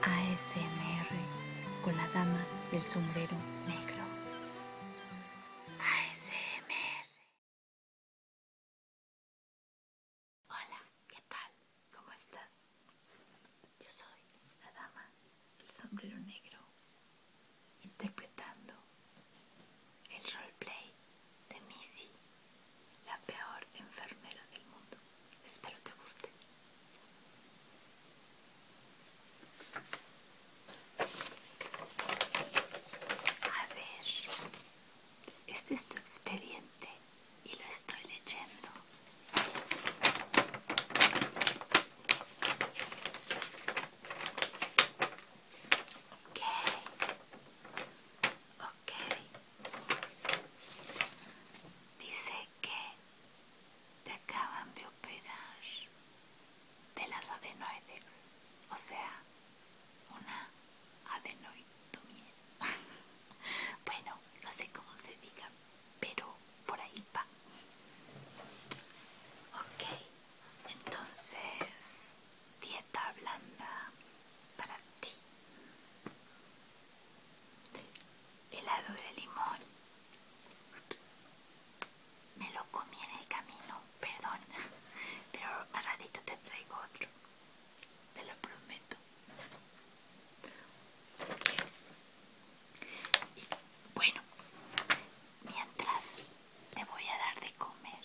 ASMR con la dama del sombrero negro. ASMR. Hola, ¿qué tal? ¿Cómo estás? Yo soy la dama del sombrero negro interpretando el roleplay de Missy, la peor enfermera del mundo. Espero te guste. A ver, este es tu expediente y lo estoy leyendo. Ok, ok. Dice que te acaban de operar de las adenoides, o sea, una adenoidomiel, bueno, no sé cómo se diga, pero por ahí va. Ok, entonces dieta blanda para ti. Helado de limón. Ups. Me lo comí en el camino, perdón. Pero a ratito te traigo otro. Te lo prometo. Y, bueno, mientras te voy a dar de comer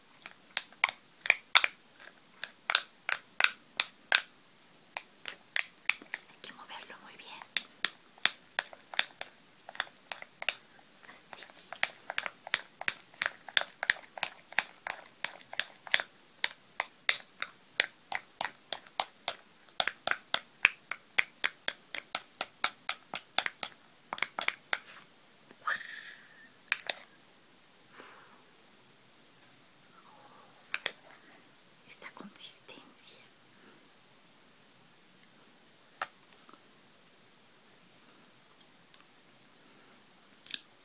Hay que moverlo muy bien. Así esta consistencia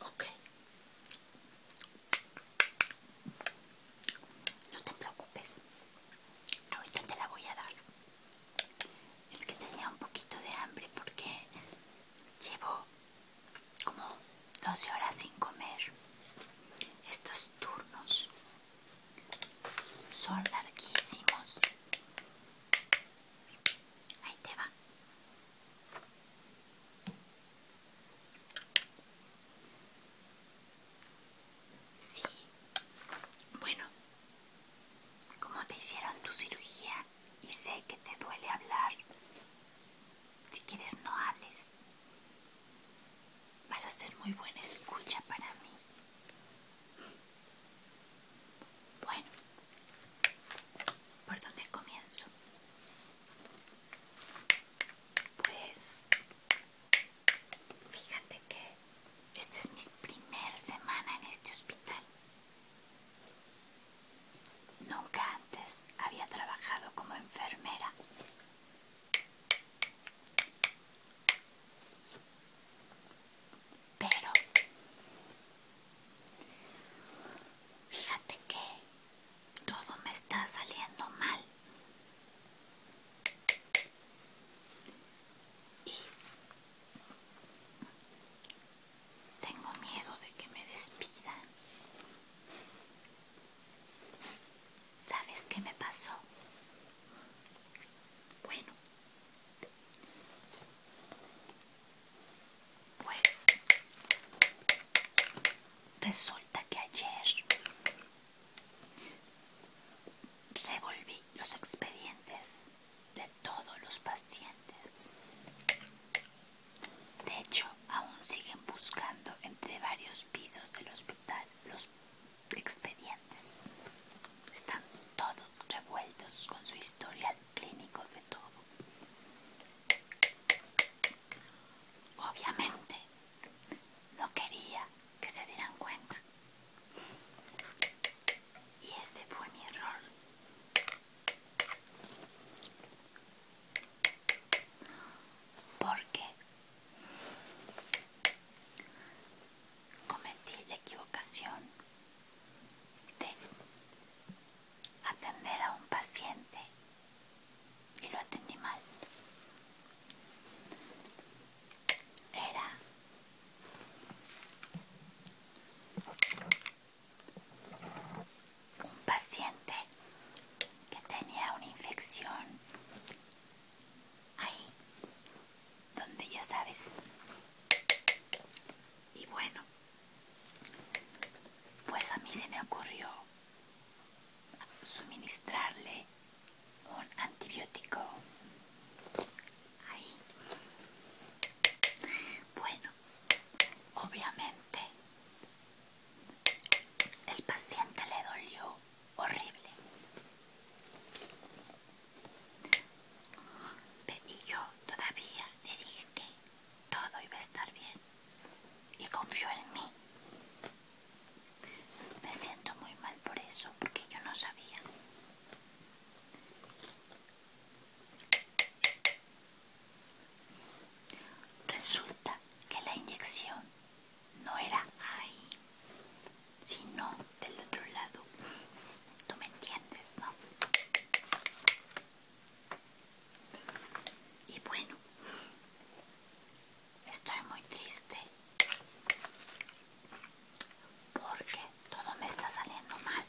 ok no te preocupes ahorita te la voy a dar es que tenía un poquito de hambre porque Llevo como 12 horas sin comer. Estos turnos son larguísimos. Ahí te va. Sí. Bueno, ¿cómo te hicieron tu cirugía? y sé que te duele hablar. Si quieres no hables. Vas a ser muy buena escucha para mí. Bueno, ¿por dónde comienzo? Pues, fíjate que esta es mi primera semana en este hospital. Nunca antes había trabajado como enfermera. Pero fíjate que todo me está saliendo mal. Tengo miedo de que me despidan. ¿Sabes qué me pasó? Bueno. Pues resulta que ayer revolví los expedientes de todos los pacientes. De hecho, aún siguen buscando entre varios pisos del hospital los expedientes. Están todos revueltos con su historial clínico de todo. Obviamente, no quería que se dieran cuenta y ese fue mi error. Porque cometí la equivocación de atender a un paciente y lo atendí mal era un paciente que tenía una infección ahí donde ya sabes y bueno pues a mí se me ocurrió suministrarle un antibiótico ahí bueno obviamente el paciente le dolió horrible y yo todavía le dije que todo iba a estar bien y confió en mí me siento muy mal por eso, porque yo no sabía. Resulta que la inyección no era ahí, sino del otro lado. Tú me entiendes, ¿no? Y bueno, estoy muy triste porque todo me está saliendo mal.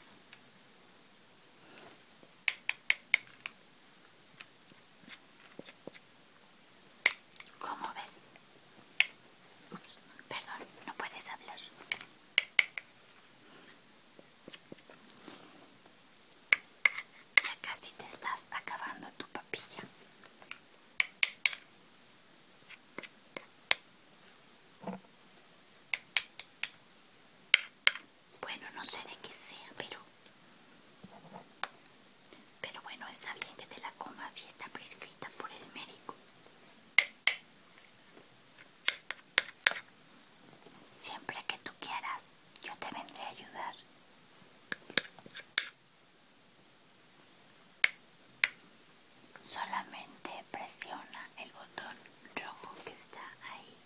¿Cómo ves? perdón, no puedes hablar. Ya casi te estás acabando tu papilla. Bueno, no sé de qué sea, pero... Pero bueno, está bien que te la comas y está prescrita por el médico. Siempre que tú quieras yo te vendré a ayudar. Solamente presiona el botón rojo que está ahí.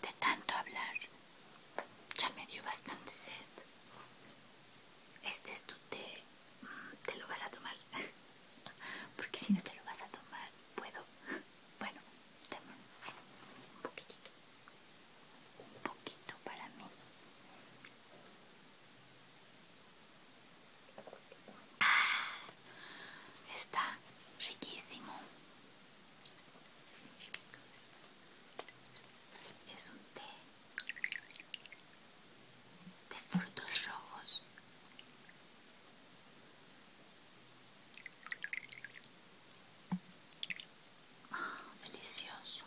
De tanto hablar, ya me dio bastante sed. Este es tu té. Mm, te lo vas a tomar. porque si no te lo vas a tomar, puedo. Bueno, un poquitito, un poquito para mí. Ah, está riquísimo. Es un té de frutos rojos ah, delicioso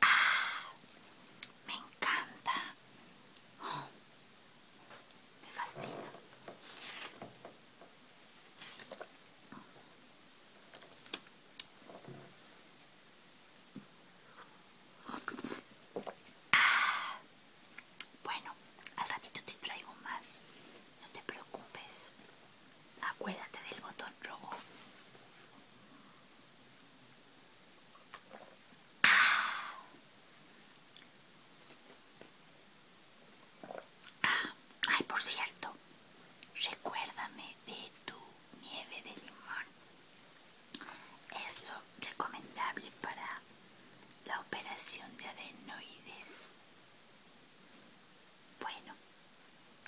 ah, me encanta oh, me fascina bueno, al ratito te traigo más. No te preocupes. Acuérdate del botón rojo. Ah. Ah, ay, por cierto, recuérdame de tu nieve de limón es lo recomendable para la operación de adenoides. Bueno,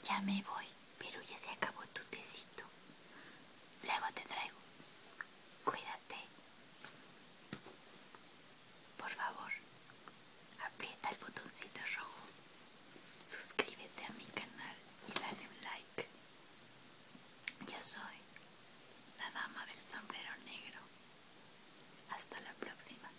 ya me voy, pero ya se acabó tu tecito. Luego te traigo. Cuídate. Por favor, aprieta el botoncito rojo, suscríbete a mi canal y dale un like. Yo soy la dama del sombrero negro. Hasta la próxima.